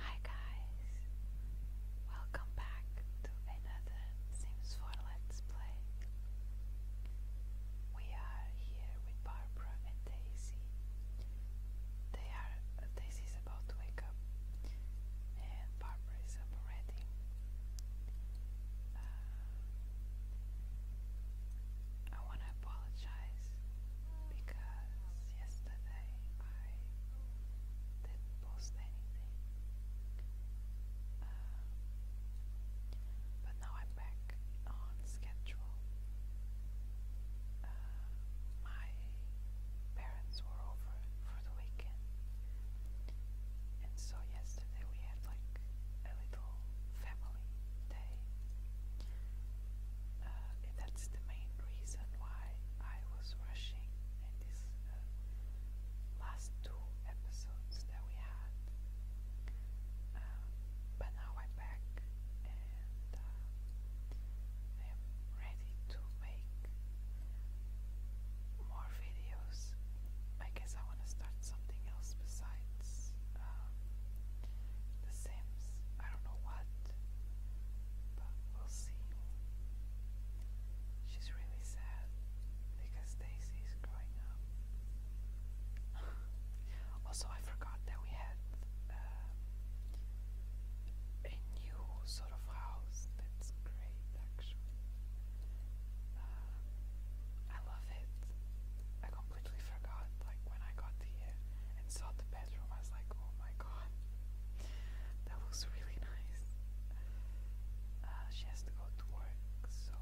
Hi guys, welcome back to another Sims 4 Let's Play. We are here with Barbara and Daisy. They are uh, Daisy is about to wake up, and Barbara is already. Uh, I want to apologize because yesterday I didn't post anything. Um, but now I'm back on schedule. Uh, my parents were over for the weekend, and so yesterday we had like a little family day uh, that's the main reason why I was rushing in these uh, last two episodes that we had. Uh, but now I'm back and uh, I am ready to make more videos. I guess I want to start something else besides The Sims. I don't know what but we'll see. She's really sad because Daisy's growing up. also, I forgot that we had uh, a new sort of house that's great actually. Um, I love it. I completely forgot, like, when I got here and saw the I was like, oh my god, that looks really nice. Uh, she has to go to work, so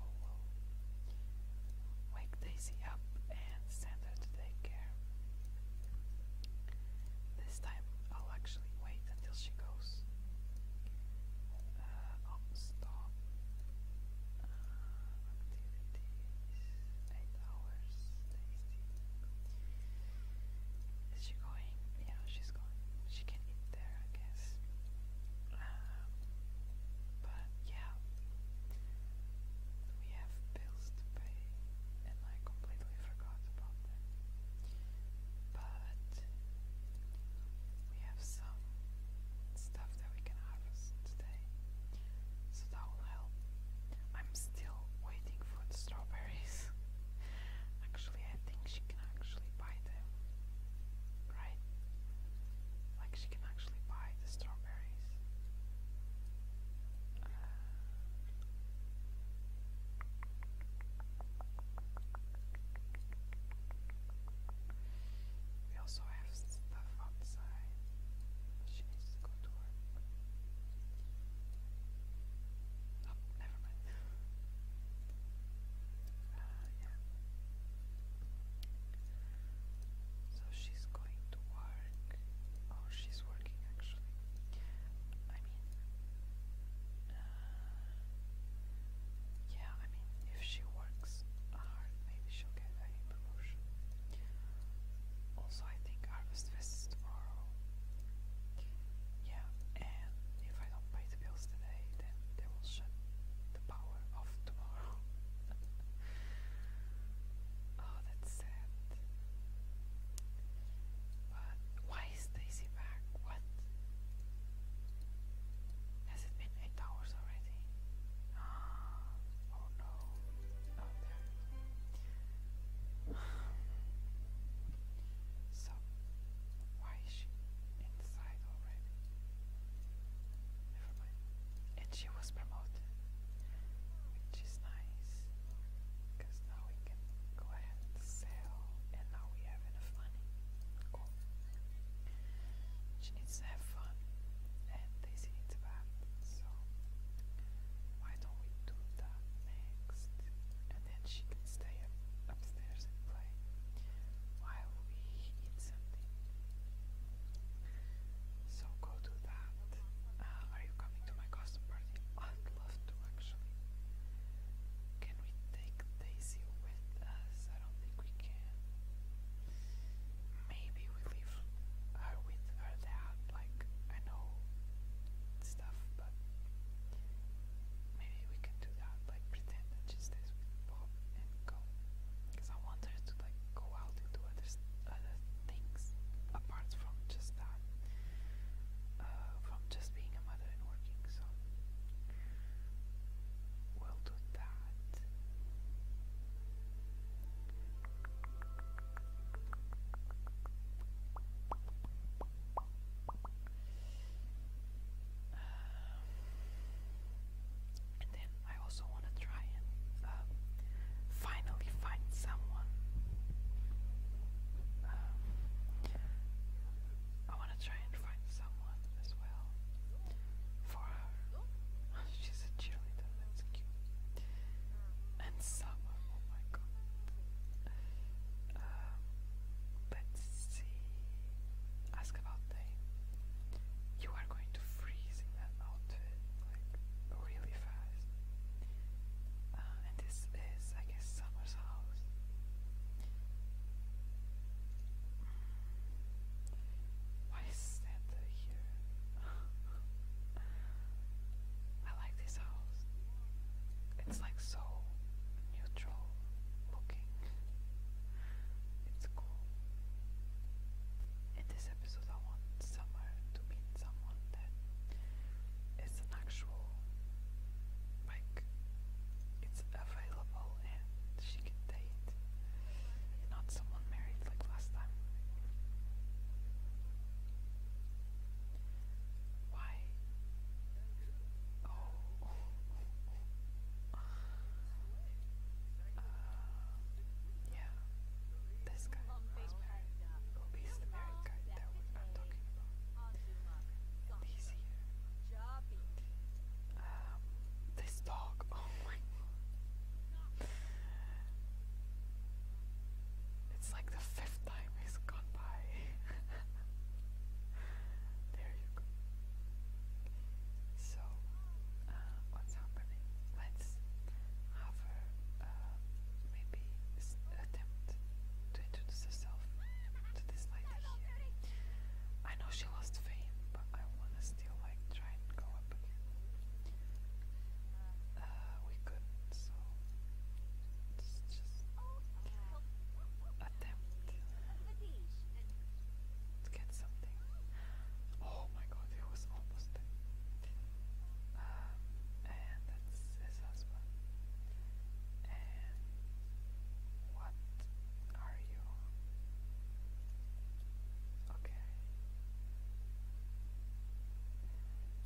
wake Daisy up and send her to daycare. This time I'll actually wait until she goes. Uh, oh, stop. Uh, activities hours, let Is she going? Yeah, she's going. She can eat there, I guess. Um, but yeah, we have bills to pay, and I completely forgot about them. But we have some stuff that we can harvest today, so that will help. I'm still waiting for the strawberries. actually, I think she can actually buy them. Right? Like, she can actually buy the strawberries. Uh, we also have stuff outside. She needs to go to work. Oh, never So she's going to work. Oh, she's working actually. I mean, uh, yeah, I mean, if she works hard, maybe she'll get a promotion. Also, I think Harvest Fest is tomorrow. Yeah, and if I don't pay the bills today, then they will shut the power off tomorrow. oh, that's sad. But why is Daisy back? What? Has it been eight hours already? Ah, oh no out there. So, why is she inside already? Never mind. And she was promoted, which is nice because now we can go ahead and sell, and now we have enough money. Cool. She needs to have fun, and Daisy needs a bath, so why don't we do next, and then she can stay upstairs and play while we eat something. So go do that. Uh, are you coming to my costume party? I'd love to actually. Can we take Daisy with us? I don't think we can. Maybe we leave her with her dad. Like I know stuff, but maybe we can do that, like pretend that she stays with and go. Because I want her to like go out and do other, other things apart from just that, uh, from just being a mother and working, so we'll do that. And then I also want to try and um, finally find someone. Um, I want to try and find someone as well for her. She's a cheerleader, that's cute. And summer, oh my god. Uh, let's see. Ask about day. You are going to freeze in that outfit like really fast. Uh, and this is, I guess, Summer's house. Why is Santa here? I like this house. It's like so neutral looking. It's cool. In this episode I want Summer to meet someone that is an actual like it's available and she can date. Not someone married like last time. Why? Oh. yeah. This guy. Who is the married guy that I'm talking about? And he's this dog. Oh my god. It's like the fifth time he's gone there you go. So, uh, what's happening? Let's have her uh, maybe attempt to introduce herself to this lady here. I know she lost fame, but I wanna still like try and go up uh, we couldn't, so just attempt. let get something. Oh my god, it was almost um, and that's his husband. And what are you? Okay.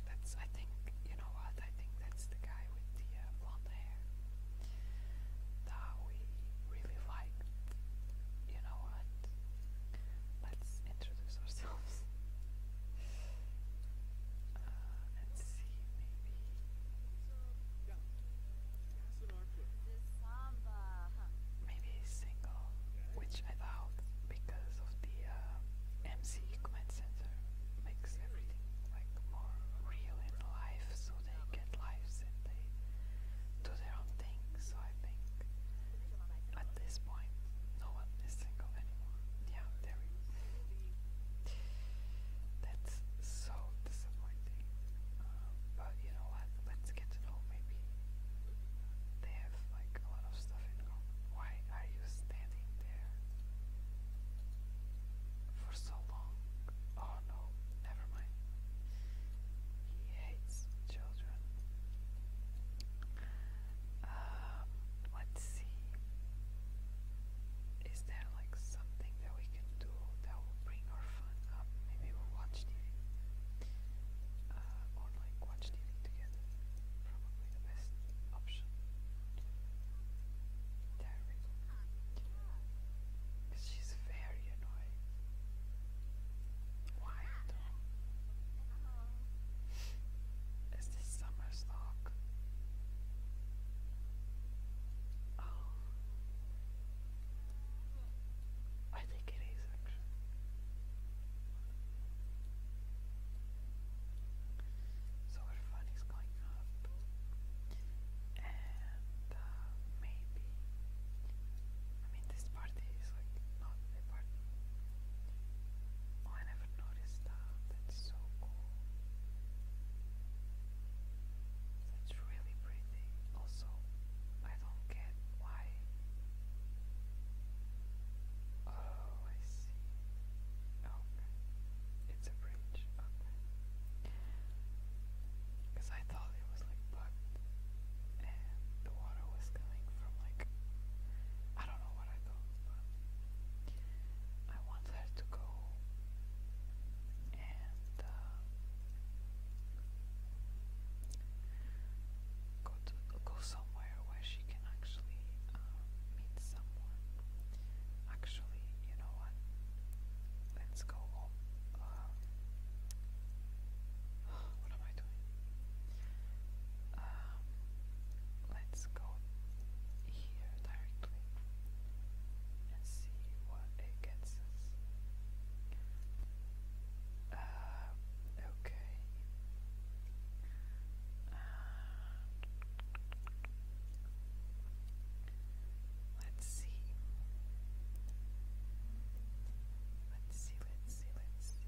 That's, I think, you know what? I think that's the guy with the uh, blonde hair that we really liked. You know what? Let's introduce ourselves. Uh, see, maybe. he's single, which I doubt because of the uh, MC comment center makes everything like more real in life, so they get lives and they do their own thing. So I think at this point, no one is single anymore. Yeah, there That's so disappointing. Uh, but you know what? Let's get to know maybe they have like a lot of stuff in common. Why are you standing there for so long. Oh no, never mind. He hates children. Um, let's see. Is there like something that we can do that will bring our fun up? Maybe we watch TV. Uh, or like watch TV together. Probably the best option. There we go. she's very annoying. Why though? Is this summer Oh. I think it is actually. So our fun is going up. And uh, maybe. I mean, this party is like not a party. Oh, I never noticed that. Uh, that's so cool. That's really pretty. Also, I don't get why. Oh, I see see. Oh, It's a bridge. Okay. Because I thought it was like bugged the water was coming from like. I don't know what I thought, but. I wanted to go and uh, go to go somewhere where she you actually um, meet someone. Actually, you know what? Let's go um, what am I doing? Um, let's go here directly and see what it gets us. Uh, okay. Uh, let's see. Let's see, let's see, let's see. Let's see.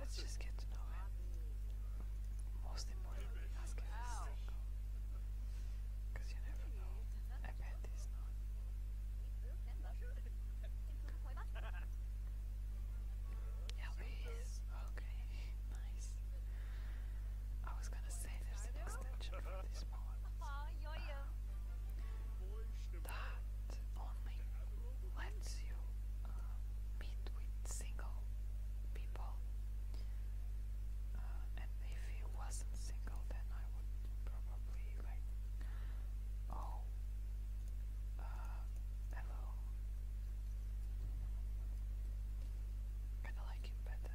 Let's just get to know him. Most importantly, ask him if he's single. Because you never know. I bet he's Yeah, but Okay, nice. I was gonna say there's an extension for these poems. Um, that only lets you uh, meet with single people. Uh, and if he wasn't single, then I would probably like, oh, uh, hello. Kinda like him better.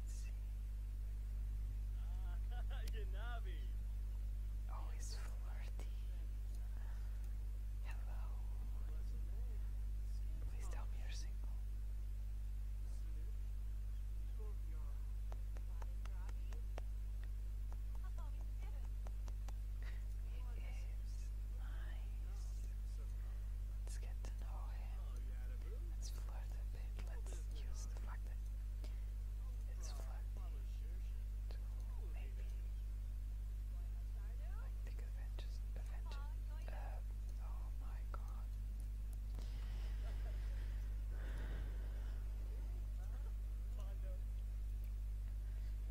Let's see. Always flirty. Hello. Please tell me you're single. It is nice. Let's get to know him. Let's flirt bit. Let's use the fact that it's floating maybe like the Avengers. oh my god.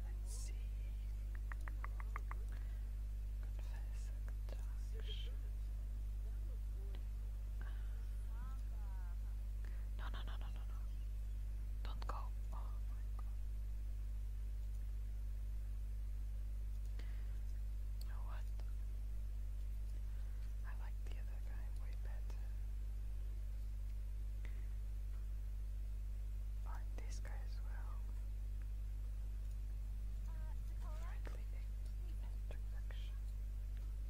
Let's see. Confess no, no, no, no, no, no. Don't go. Oh my god. You know what? I like the other guy way better. I like this guy as well. Friendly introduction.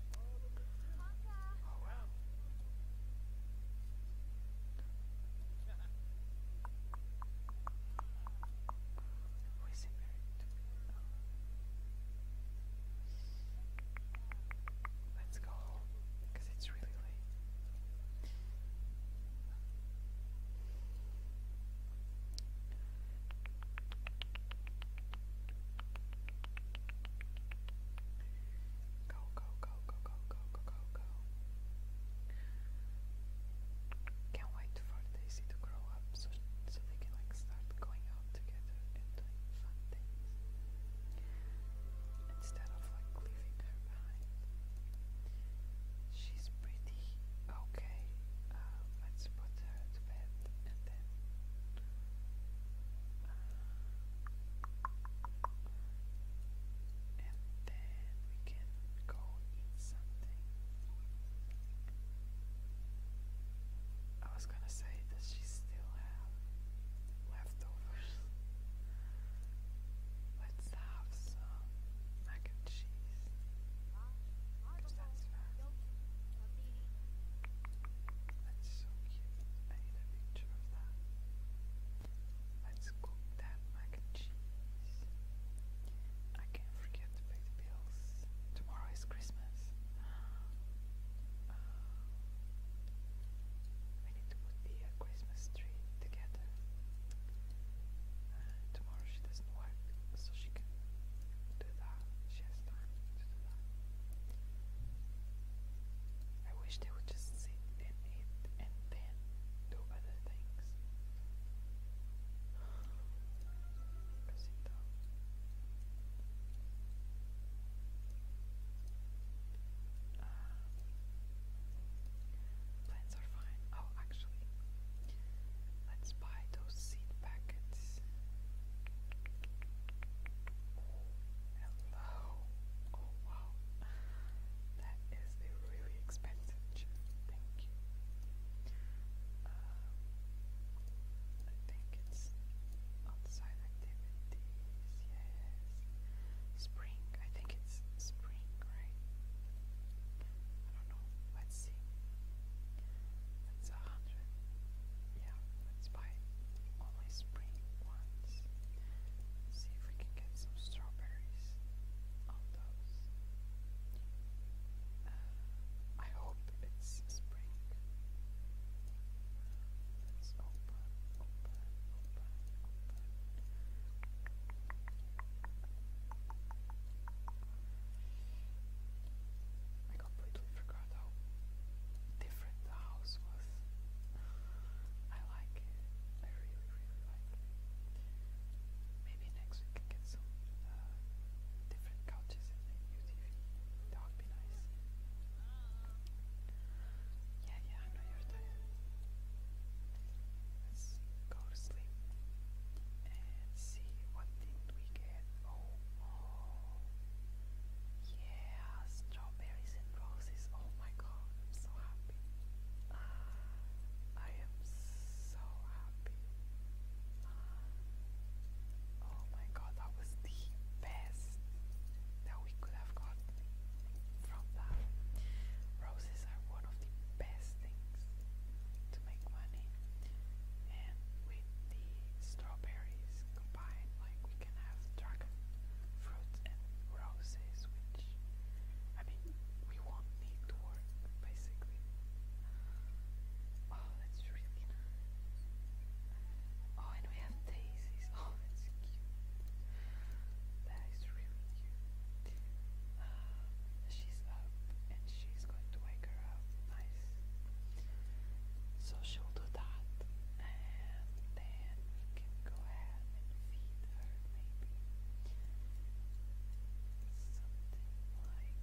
Oh wow. Who is he married to? Oh. Let's go home because it's really late. Go, go, go, go, go, go, go, go, Can't wait for Daisy to grow up so, so they can like start going out together and doing fun Instead of like leaving her behind. She's pretty. Okay, uh, let's put her to bed then uh, and then we can go eat something. I was gonna say, does she still have leftovers? Let's have some mac and cheese. That's so cute. I need a picture of that. Let's cook that mac and cheese. I can't forget to pay the bills. Tomorrow is Christmas. Uh, need to put the Christmas tree together. tomorrow she doesn't work, so she can do that. She has time to do that. I wish they would just sit and and then do other things. plants are fine. Oh, actually, let's buy those seed packets though. Oh wow. That is a really expensive chip. Thank you. Uh, I think it's outside activities. Yes. Spring. I think it's spring, right? I don't know. Let's see. That's a hundred. Yeah, let's buy only spring ones. See if we can get some strawberries uh, I hope it's spring. Let's open, open, open. I completely forgot how different the house was. I like it. I really, really like it. Maybe next we can get some uh, different couches and a new TV. That would be nice. Yeah, yeah, I know you're tired. Let's go to sleep and see what did we get. Oh, oh. yeah, straw strawberries and roses. Oh my god, I'm so happy. Ah, I am so happy. Ah, oh my god, that was the best that we could have gotten from that. Roses are one of the best things to make money, and with the strawberries combined, like can have dragon fruits and roses, which I mean we won't need to work basically. Oh, that's really nice. Oh, and we have daisies. Oh, that's cute. That is really cute. Uh, she's up and she's going to wake her up. Nice. So she'll do that and then we can go ahead and feed her maybe something like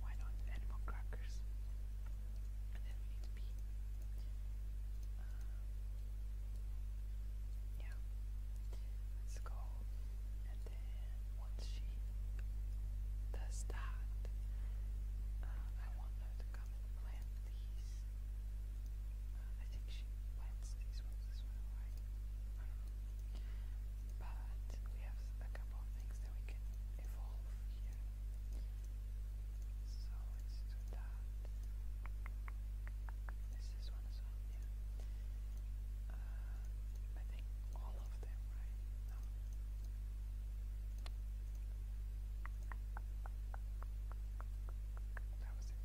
why not animal crackers? And then we need beef. yeah, uh, let's go. And then once she does that, I want her to go come and these. I think she plants these ones as well, right? But we have a couple of things that we can evolve here. So let's do that. This is one as well, yeah. I think all of them, right? No. That was it.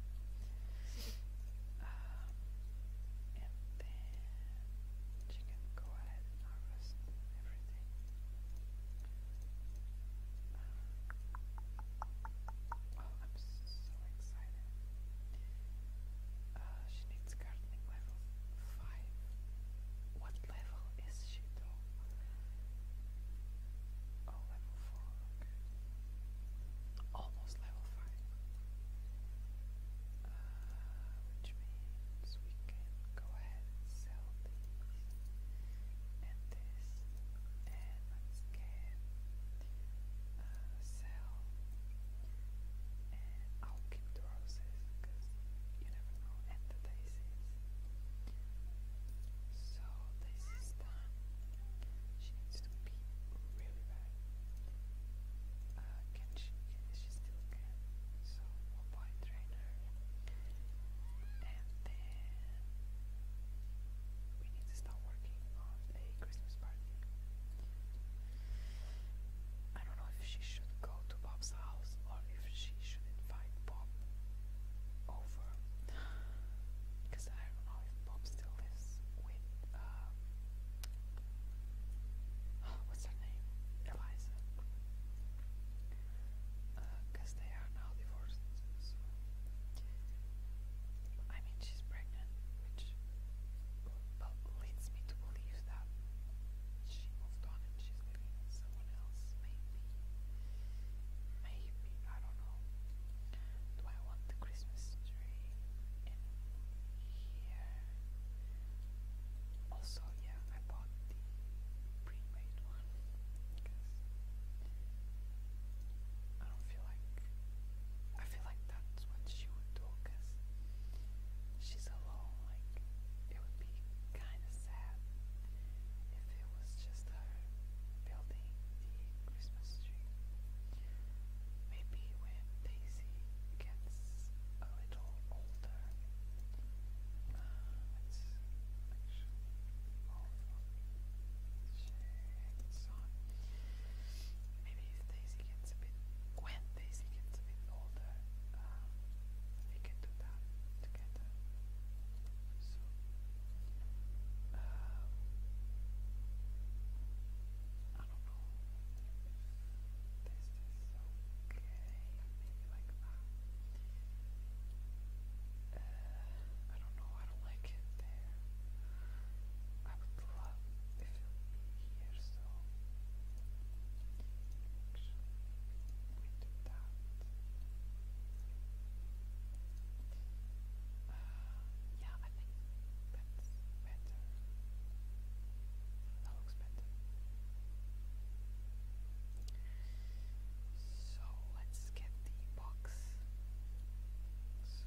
and then she can go ahead and harvest everything. oh, I'm so excited. Uh, she needs gardening level 5. What level is she though? Oh, Almost level 5. Uh, which go ahead and sell these and this. And let uh, sell. And i because you never know. So this is done. She needs to really bad. can she? She still can. So we'll buy a trainer, and then we need to start working on a Christmas party. I don't know if she should go to Bob's house or if she should invite Bob over because I don't know if Bob still lives with um, what's her name, Eliza, because uh, they are now divorced. I mean, she's pregnant, which leads me to believe that she moved on and she's living someone else, maybe. Maybe, I don't know. Do I want the Christmas tree in here? Also, yeah, I bought the pre-made one because I don't feel like I feel like that's what she would do because she's alone. Like it would be kind of sad if it was just her building the Christmas tree. Maybe when Daisy gets a little older, uh, Maybe if Daisy gets a bit, when Daisy gets a bit older, uh, we can do that get that. I don't know okay, maybe like that. I don't know, I don't like it there. I would love if it would here, so we did yeah, I think that's better. That looks better. So let's get the box. So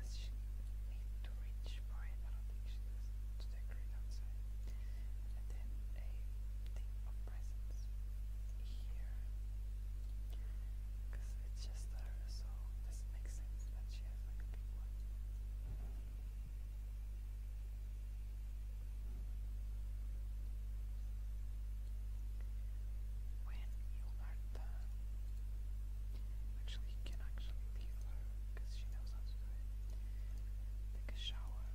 does she need to reach for it? I to decorate outside and then a thing of presents here because it's just her, so this makes sense that she has like a big one. When you are done, actually, you can actually leave her because she knows how to do it. Take a shower.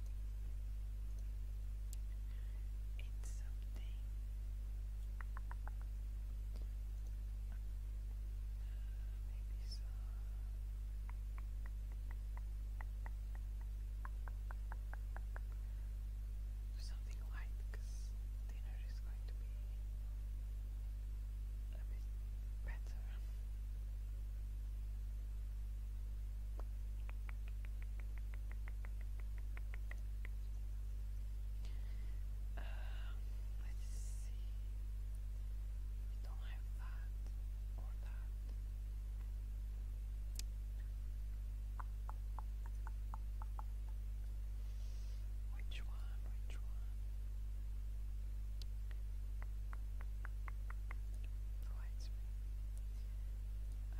It's something maybe something light because dinner is going to be a bit better. Uh, let's see. We don't have that or that. Which one? Which one? Right, this room. Uh,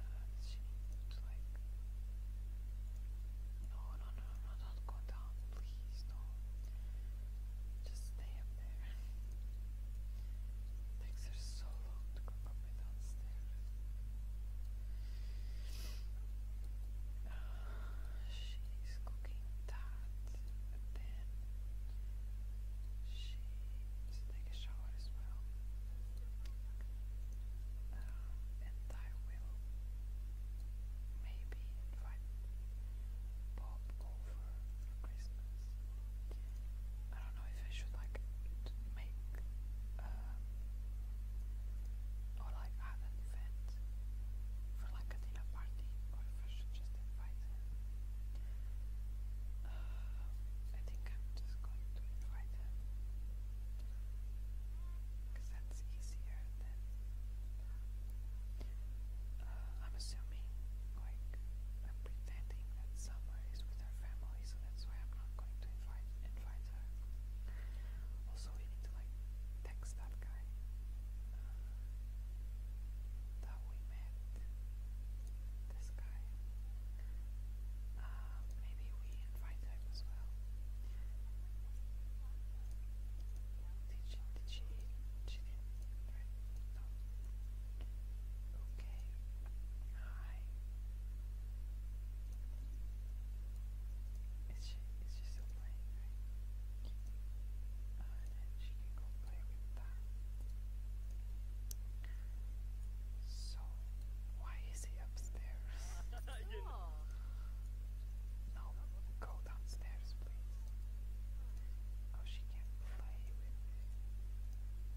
no, no, no, no, don't go down, please, no. Just stay up there. takes her so long to come up and downstairs. she's cooking that, then she take a shower as well. Uh, and I will maybe invite Bob over for Christmas. I don't know if I should like make uh, or like add an event for like a dinner party or if I should just invite him. Uh, I think I'm just going to invite him because that's easier than uh, I'm assuming, like, I'm pretending that Summer is with her family, so that's why I'm not going to invite invite her. Also, we need to like text that guy. Uh, that we met this guy. Um, maybe we invite him as well. Okay. Hi. Is she? Is she still playing? Uh, and then she can go play with that. So, why is he upstairs? No, go downstairs, please. Oh, she can't play with it.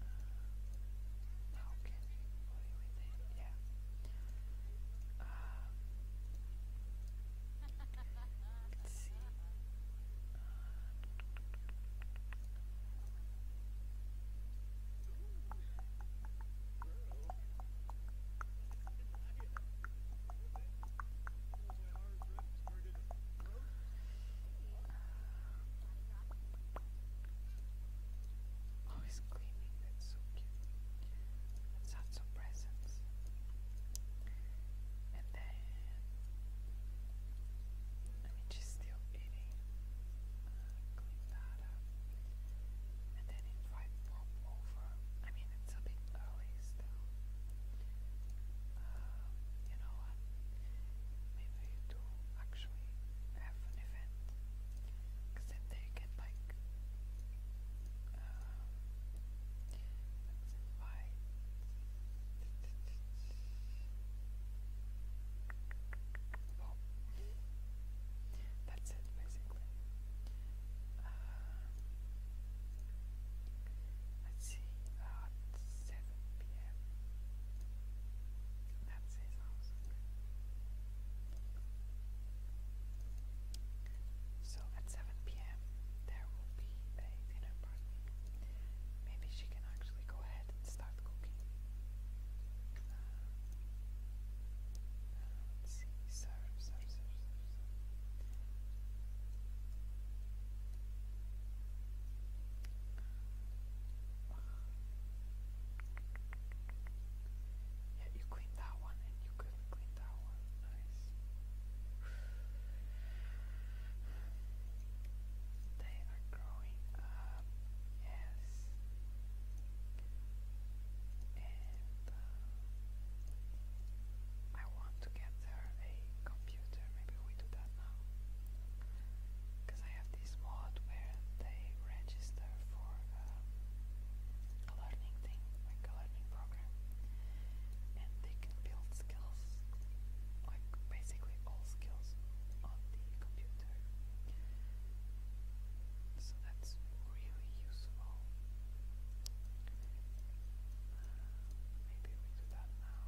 Uh, how can you play with it? Yeah. Um, let's see. Uh, Always cleaning, that's so cute. Let's have some And then let me just steal really uh, clean up. And then invite Bob over. I mean, it's a bit early still. you know what? Maybe you do actually have an event. Because then they can, like, invite. Well, that's it basically. Uh, let's see, at 7 pm. That's his house. So at 7 pm, there will be a dinner party. Maybe she can actually go ahead and start cooking. Uh, let's see, serve, serve, serve, serve, serve. Yeah, you cleaned that one and you couldn't clean that one. Nice. They are growing up, yes. And uh, I want to get her a computer. Maybe we do that now. Because I have this mod where they register for um, a learning thing, like a learning program. And they can build skills, like basically all skills on the computer. So that's really useful. maybe we do that now.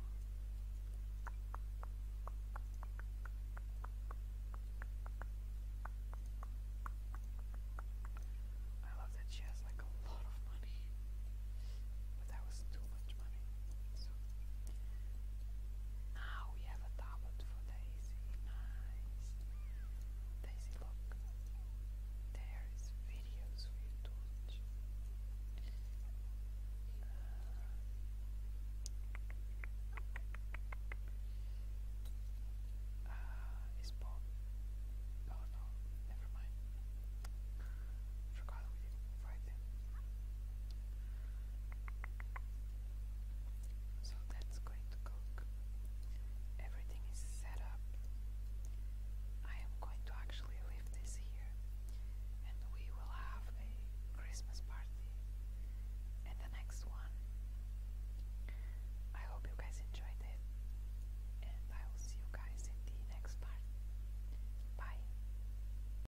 I love that she has like a lot of money, but that was too much money. So now we have a tablet for Daisy. Nice. Daisy, look. There is videos for you to watch. Uh, uh, is Bob? Oh, no, never mind. Forgot we didn't invite him. So that's going to cook. Everything is set up. I am going to actually leave this here and we will have a Christmas party and the next one. I hope you guys enjoyed it and I will see you guys in the next part. Bye.